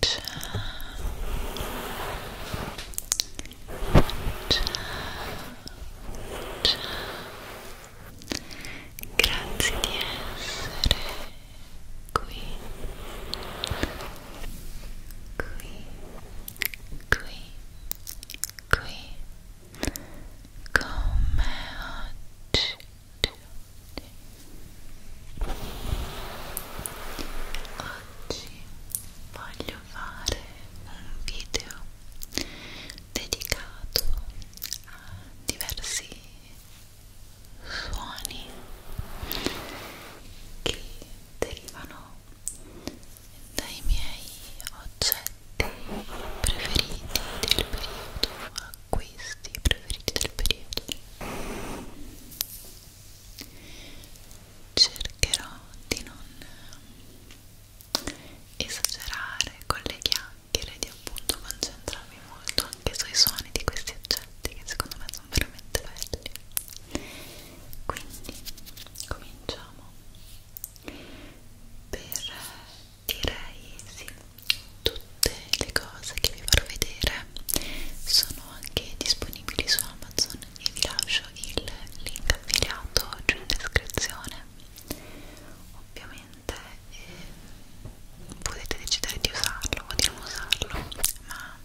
Touch. Touch. Grazie di essere qui, qui, qui, qui, come oggi Oggi voglio fare un video dedicato a diversi suoni che derivano dai miei oggetti preferiti del periodo acquisti preferiti del periodo cercherò di non esagerare con le chiacchiere di appunto concentrarmi molto anche sui suoni di questi oggetti che secondo me sono veramente belli quindi cominciamo per direi sì tutto tutte le cose che vi farò vedere sono anche disponibili su Amazon e vi lascio il link affiliato giù in descrizione ovviamente eh, potete decidere di usarlo o di non usarlo ma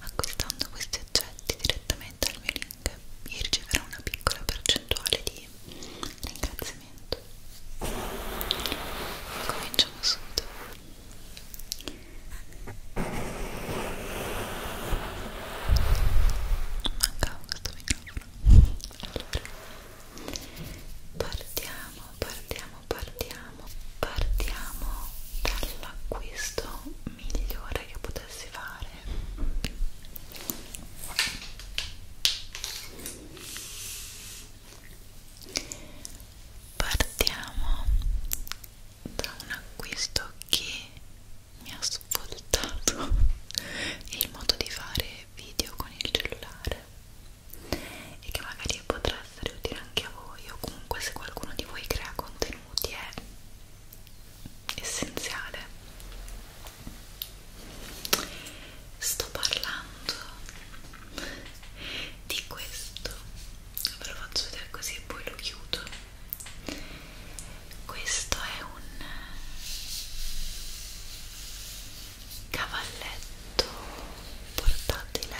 acquistando questi oggetti direttamente al mio link io riceverò una piccola percentuale di ringraziamento cominciamo subito mancava questo microfono allora partiamo partiamo partiamo partiamo dall'acquisto migliore che potessi fare partiamo da un acquisto che mi ha svoltato il modo di fare video con il cellulare e che magari potrà essere utile anche a voi o comunque se qualcuno di voi crea contenuti è essenziale sto parlando di questo ve lo faccio vedere così e poi lo chiudo questo è un cavalletto portatile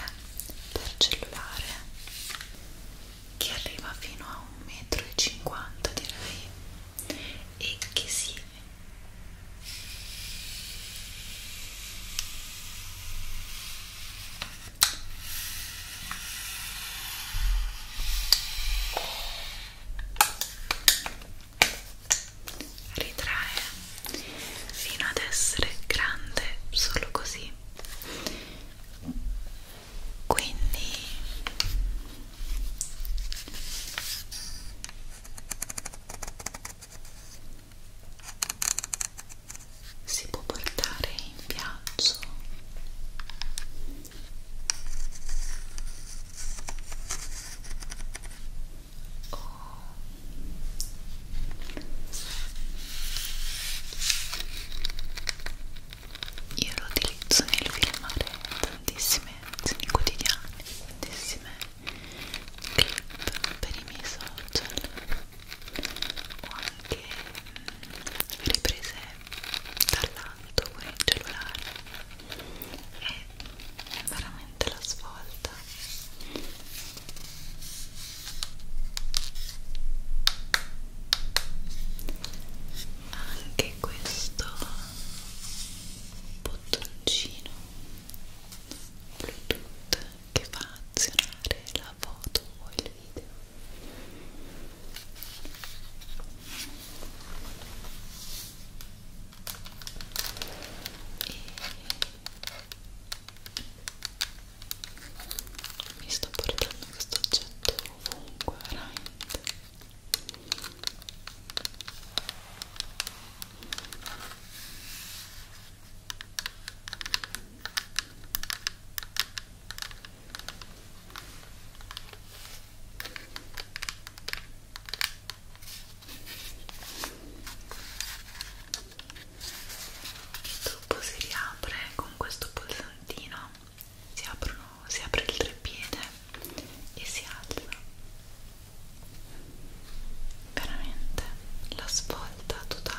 per cellulare che arriva fino a 1,50 m direi e che si ritrae fino ad essere grande solo così quindi si può portare in viaggio o oh. io lo utilizzo nel filmare tantissime azioni quotidiane tantissime clip per i miei social ho anche mm, riprese dall'alto con il cellulare è veramente la svolta anche questo bottoncino bluetooth che fa azionare la foto o il video e mi sto portando questo oggetto ovunque veramente il tubo si riapre con questo pulsantino, si, aprono, si apre il treppiede e si alza. Veramente la svolta totale.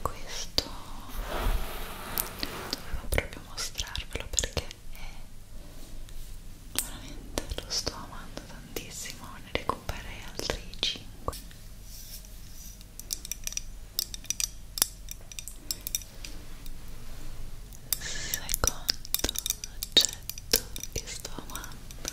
Questo dovevo proprio mostrarvelo perché è veramente lo sto amando tantissimo ne recupererei altri 5 secondo oggetto che sto amando è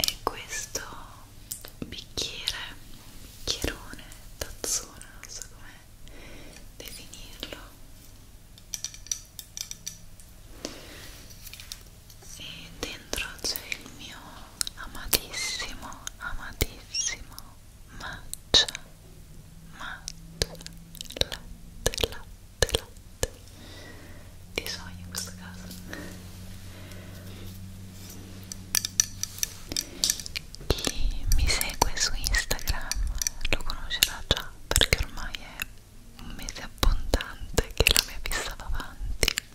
e questo bicchiere, bicchierone, tazzone, non so come definirlo e dentro c'è il mio amatissimo, amatissimo matcha, matcha, latte, latte, latte di soia in questo caso chi mi segue su Instagram lo conoscerà già perché ormai è un mese abbondante che la mia vista va avanti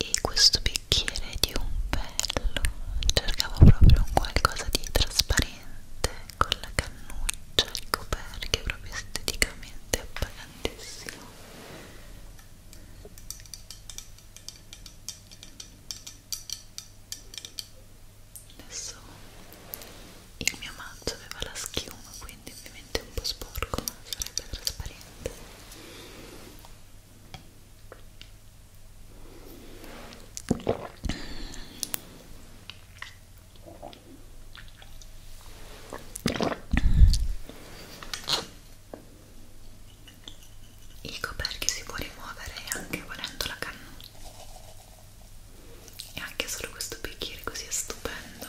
e questo bicchiere di un bello cercavo proprio un qualcosa di trasparente con la cannuccia ricoperchia proprio esteticamente appagantissimo adesso il mio mazzo aveva la schiuma qui quindi ovviamente è un po' sporco ma sarebbe trasparente il coperchio si può rimuovere anche volendo la cannuccia e anche solo questo bicchiere così è stupendo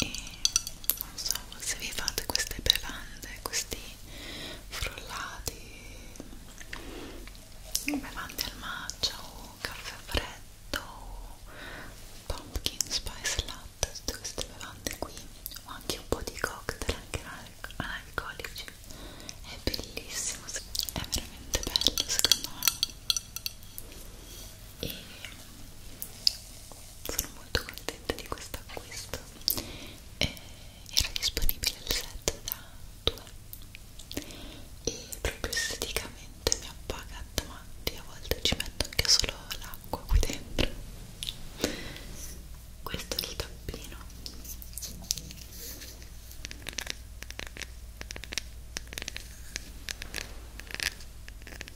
e non so se vi fate queste bevande, questi frullati, bevande al matcha o caffè freddo o pumpkin spice latte, tutte queste bevande qui o anche un po' di cocktail anche analcolici è bellissimo, è veramente bello secondo me e sono molto contenta di questo acquisto eh, era disponibile il set da 2 e proprio esteticamente mi appaga a davanti a volte ci metto anche solo l'acqua qui dentro questo è il tappino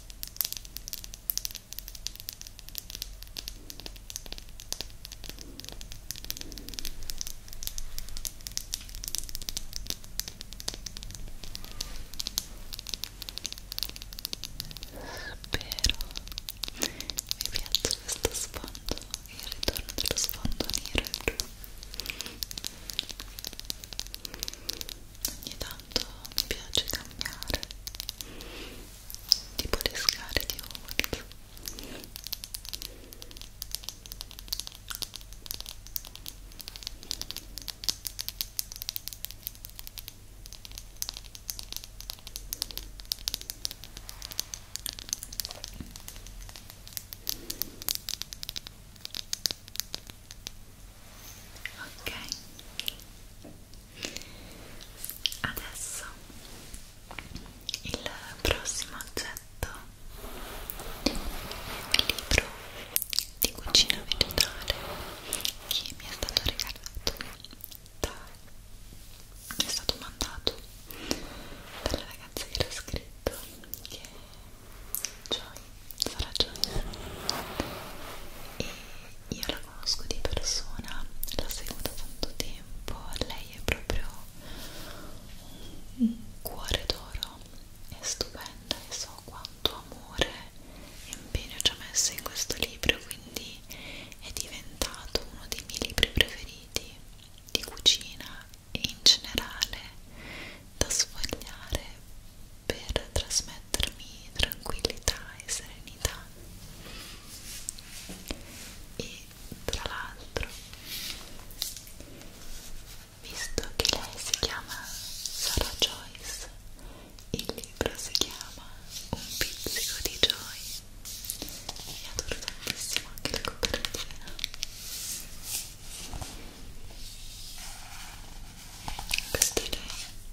vi piaccia questo sfondo e il ritorno dello sfondo nero e blu ogni tanto mi piace cambiare tipo le scale di Org ok adesso il prossimo oggetto è un libro di cucina vegetale che mi è stato regalato da, mi è stato mandato dalla ragazza che l'ha scritto che è Joy ho ragione e io la conosco di persona la seguo da tanto tempo lei è proprio un cuore d'oro è stupenda e so quanto amore e impegno ci ho messo in questo libro quindi è diventato uno dei miei libri preferiti di cucina e in generale da sfogliare per trasmettermi tranquillità e serenità e tra l'altro visto che lei si chiama Sarah Joyce il libro si chiama Un pizzico di Joy e adoro tantissimo anche la copertina questo è lei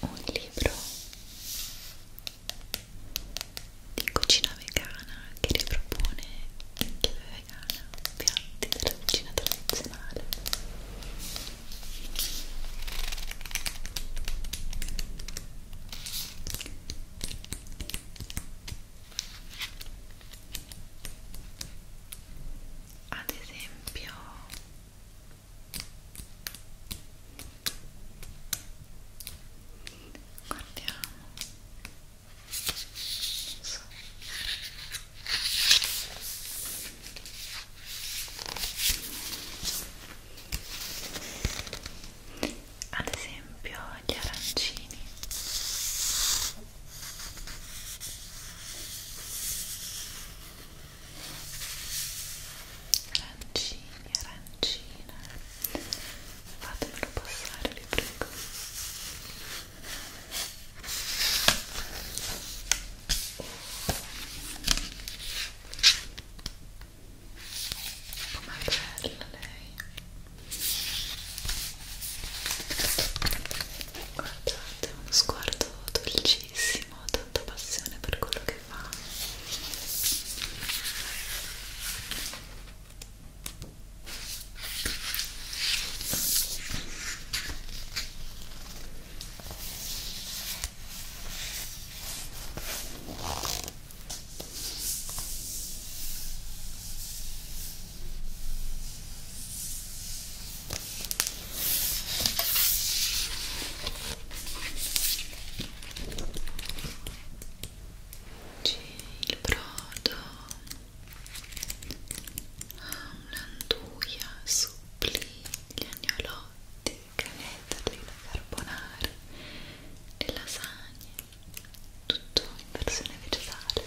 un libro di cucina vegana che ripropone in chiave vegana piatti della cucina tradizionale ad esempio guardiamo so. ad esempio gli arancini arancini, arancina fatemelo passare vi prego com'è bella lei guardate uno sguardo dolcissimo tantissimo, tanta passione per quello che fa il brodo ha un'anduia supplì, gli agnolotti, canetoli, la carbonara, le lasagne, tutto in versione vegetale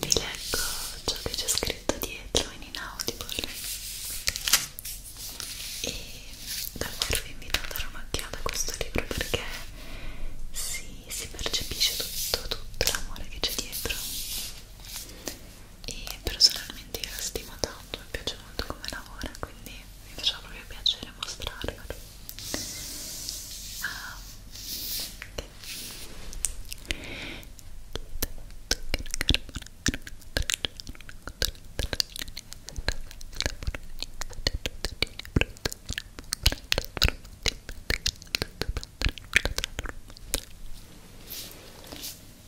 Vi leggo ciò che c'è scritto dietro in inaudible e davvero vi invito a dare un'occhiata a questo libro perché si, si percepisce tutto, tutto l'amore che c'è dietro e personalmente io la stimo tanto, mi piace molto come lavora quindi mi faceva proprio piacere mostrarvelo ah, ok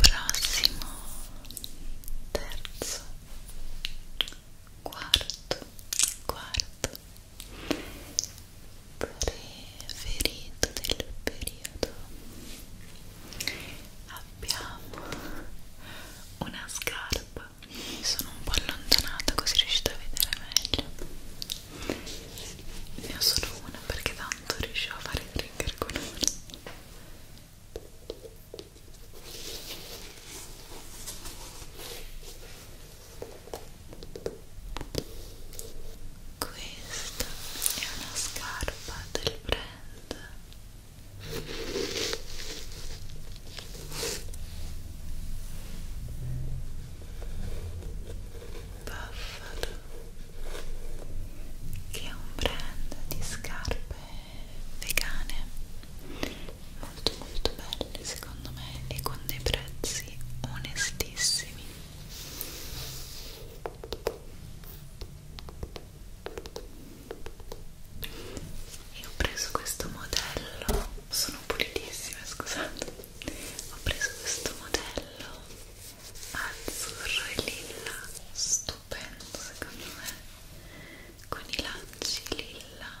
Prossimo, terzo, quarto, quarto, primo ferito del periodo abbiamo una scarpa mi sono un po' allontanata così riuscite a vedere meglio ne ho solo una perché tanto riuscivo a fare trigger con una questa è una scarpa del brand Buffalo che è un brand di scarpe vegane molto molto belle secondo me e con dei prezzi onestissimi e ho preso questo modello sono pulitissime scusate ho preso questo modello azzurro e lilla stupendo secondo me con i lacci lilla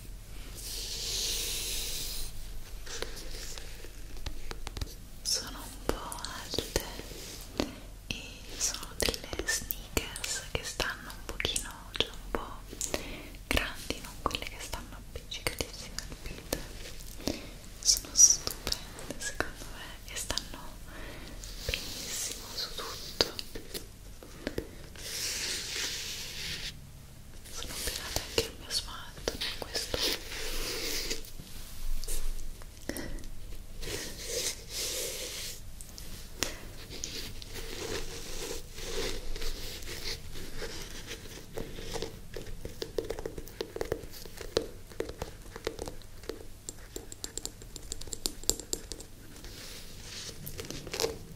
sono un po' alte e sono delle sneakers che stanno un pochino, cioè un po' grandi, non quelle che stanno appiccicatissime al piede sono stupende secondo me e stanno benissimo su tutto sono pegata anche il mio smalto in questo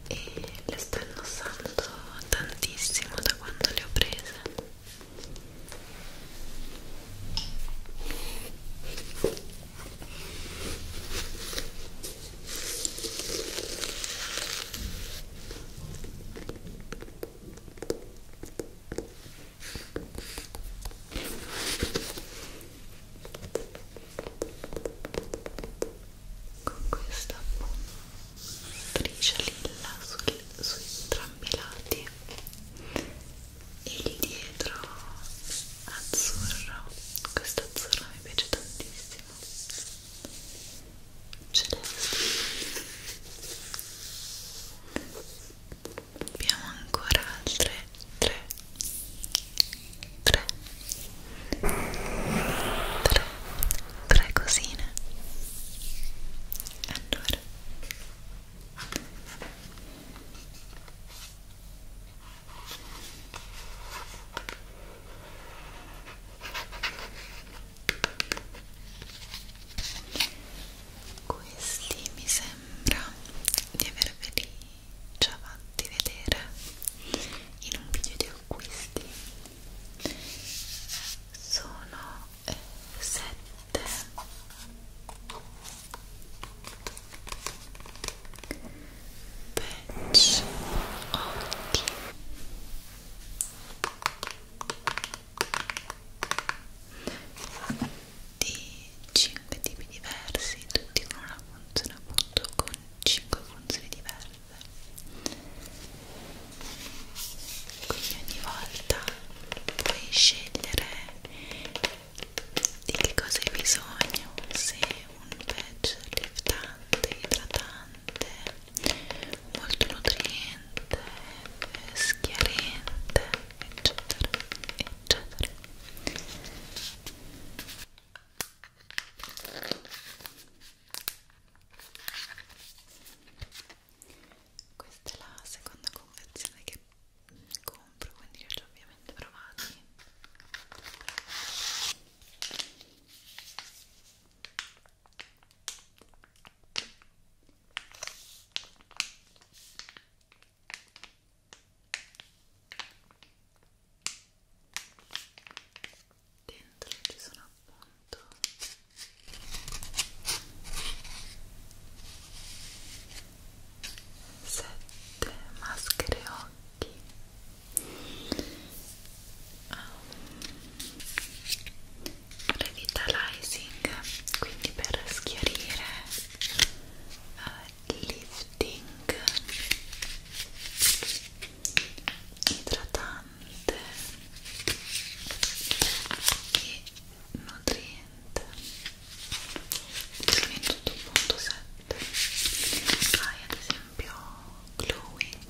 e le sto indossando tantissimo da quando le ho prese con questa striscia lilla su, su entrambi i lati e il dietro azzurro questo azzurro mi piace tantissimo celeste abbiamo ancora altre tre tre, tre, tre cosine. Allora. Questi mi sembra di averveli già fatti vedere in un video di acquisti sono 7 eh, patch occhi di 5 tipi diversi tutti con una funzione appunto con 5 funzioni diverse quindi ogni volta puoi scegliere di che cosa hai bisogno se un patch liftante, idratante molto nutriente schiarente eccetera eccetera questa è la seconda confezione che compro, quindi li ho già ovviamente provati dentro ci sono appunto sette maschere occhi um, revitalizing quindi per schiarire uh, lifting idratante e nutriente sono in tutto un punto 7 hai ad esempio glowing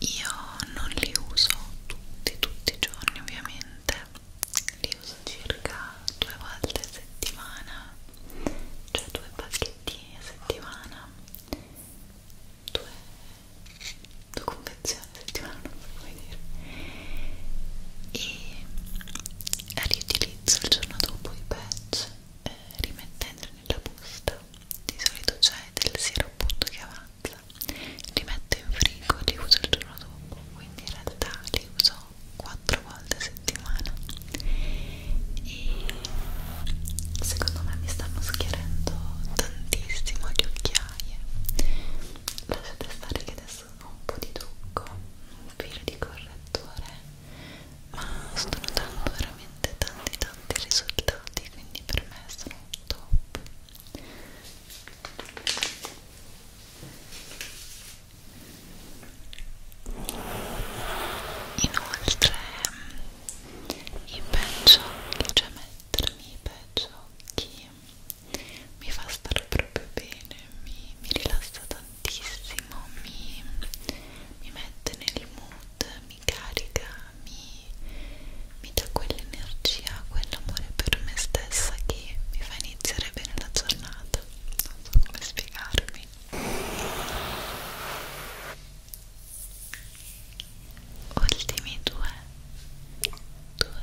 io non li uso tutti tutti i giorni ovviamente li uso circa due volte a settimana cioè due pacchettini a settimana due, due confezioni a settimana non so come dire e riutilizzo il giorno dopo i patch eh, rimettendoli nella busta di solito c'è del siero appunto che avrà tazza li metto in frigo li uso il giorno dopo quindi in realtà li uso 4 volte a settimana e secondo me mi stanno schierendo tantissimo le occhiaie lasciate stare che adesso ho un po' di trucco un filo di correttore ma sto notando veramente tanti tanti risultati quindi per me sono top Inoltre i peggiocchi, cioè mettermi i peggiocchi mi fa stare proprio bene, mi, mi rilassa tantissimo, mi, mi mette nel mood, mi carica mi, mi dà quell'energia, quell'amore per me stessa che mi fa iniziare bene la giornata. Non so come spiegarmi. Ultimi due, due,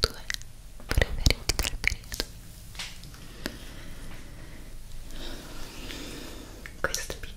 due, due preferiti del periodo. Questo video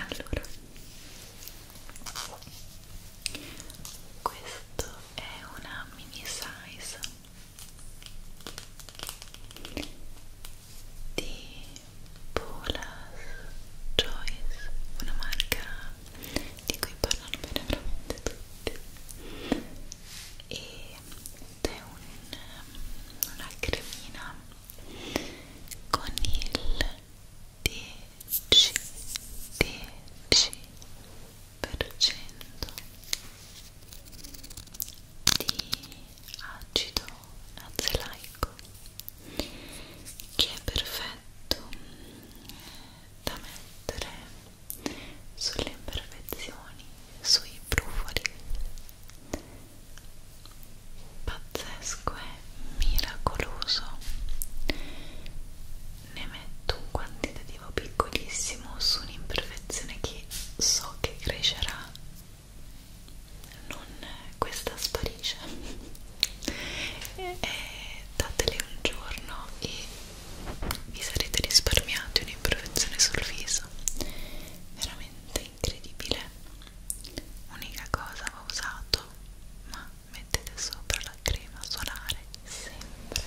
Allora, questo è una mini size di Paula's Choice, una marca di cui parlano bene veramente tutti ed è un, una cremina con il 10 10% di acido azelaico che è perfetto da mettere sulle imperfezioni, sui brufoli pazzesco e miracoloso ne metto un quantitativo piccolissimo su un'imperfezione che so che crescerà non questa sparisce e eh, datele un giorno e vi sarete risparmiati un'imperfezione sul viso veramente incredibile unica cosa ho usato ma mettete sopra la crema solare sempre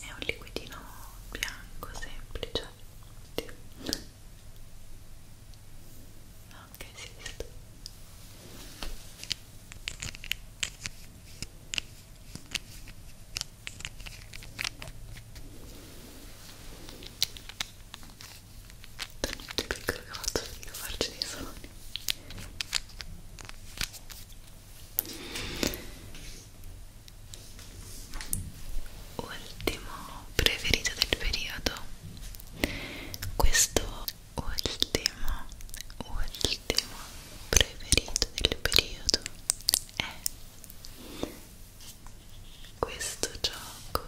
è un liquidino bianco semplice anche si esiste talmente piccolo che ho fatto finito a farci dei soldi ultimo preferito del periodo questo ultimo ultimo preferito del periodo è questo gioco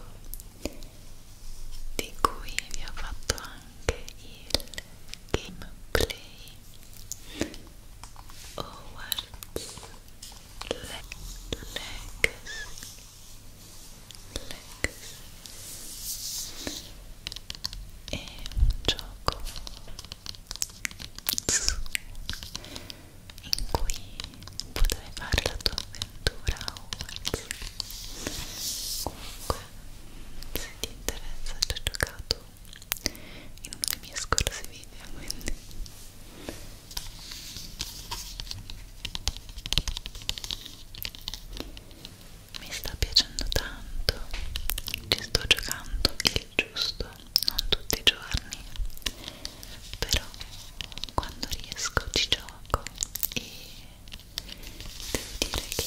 di cui vi ho fatto anche il gameplay Hogwarts Le Legacy Legacy è un gioco in cui potrai fare la tua avventura a Hogwarts comunque se ti interessa ci ho giocato in uno dei miei scorsi video quindi mi sta piacendo tanto ci sto giocando il giusto non tutti i giorni però quando riesco ci gioco e devo dire che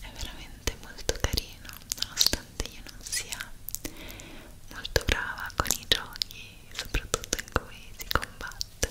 è veramente molto carino nonostante io non sia molto brava con i giochi soprattutto in cui si combatte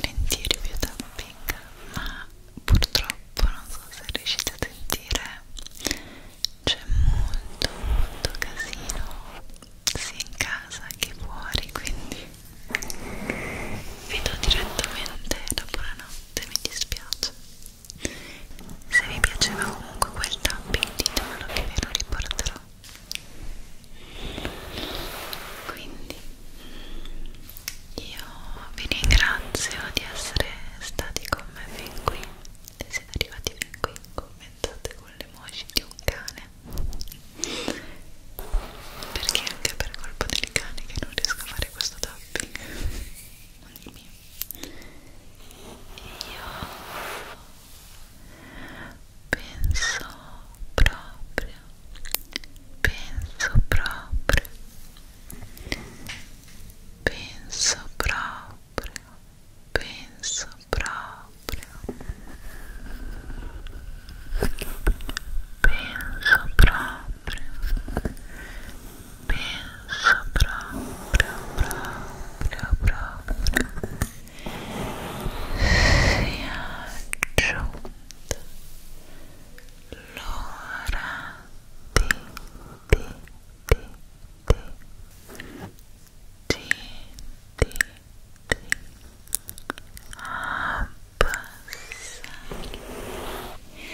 Volentieri vi tapping, ma purtroppo non so se riuscite a sentire, c'è molto molto casino sia in casa che fuori quindi vi do direttamente la buonanotte mi dispiace se vi piaceva comunque quel tapping ditemelo che ve lo riporterò quindi io vi ringrazio di essere stati con me fin qui se siete arrivati fin qui commentate con le emoji di un cane perché anche per colpa dei cani che non riesco a fare questo tapping non mio io penso proprio penso proprio penso proprio penso proprio penso próprio, penso próprio, próprio, próprio, se ajunta, loura, ti, ti, ti, ti, ti, ti a é passar, a passar, lelute,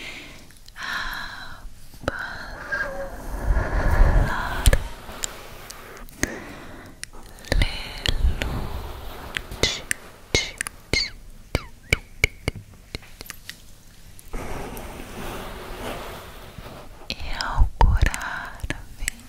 e ao curar a vida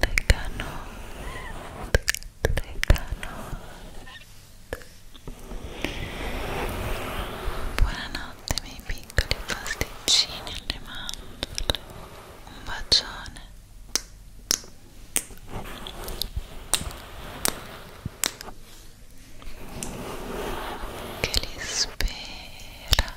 Leganot, Leganot. Buonanotte miei piccoli pasticcini alle mandorle. Un bacione. Che li spera.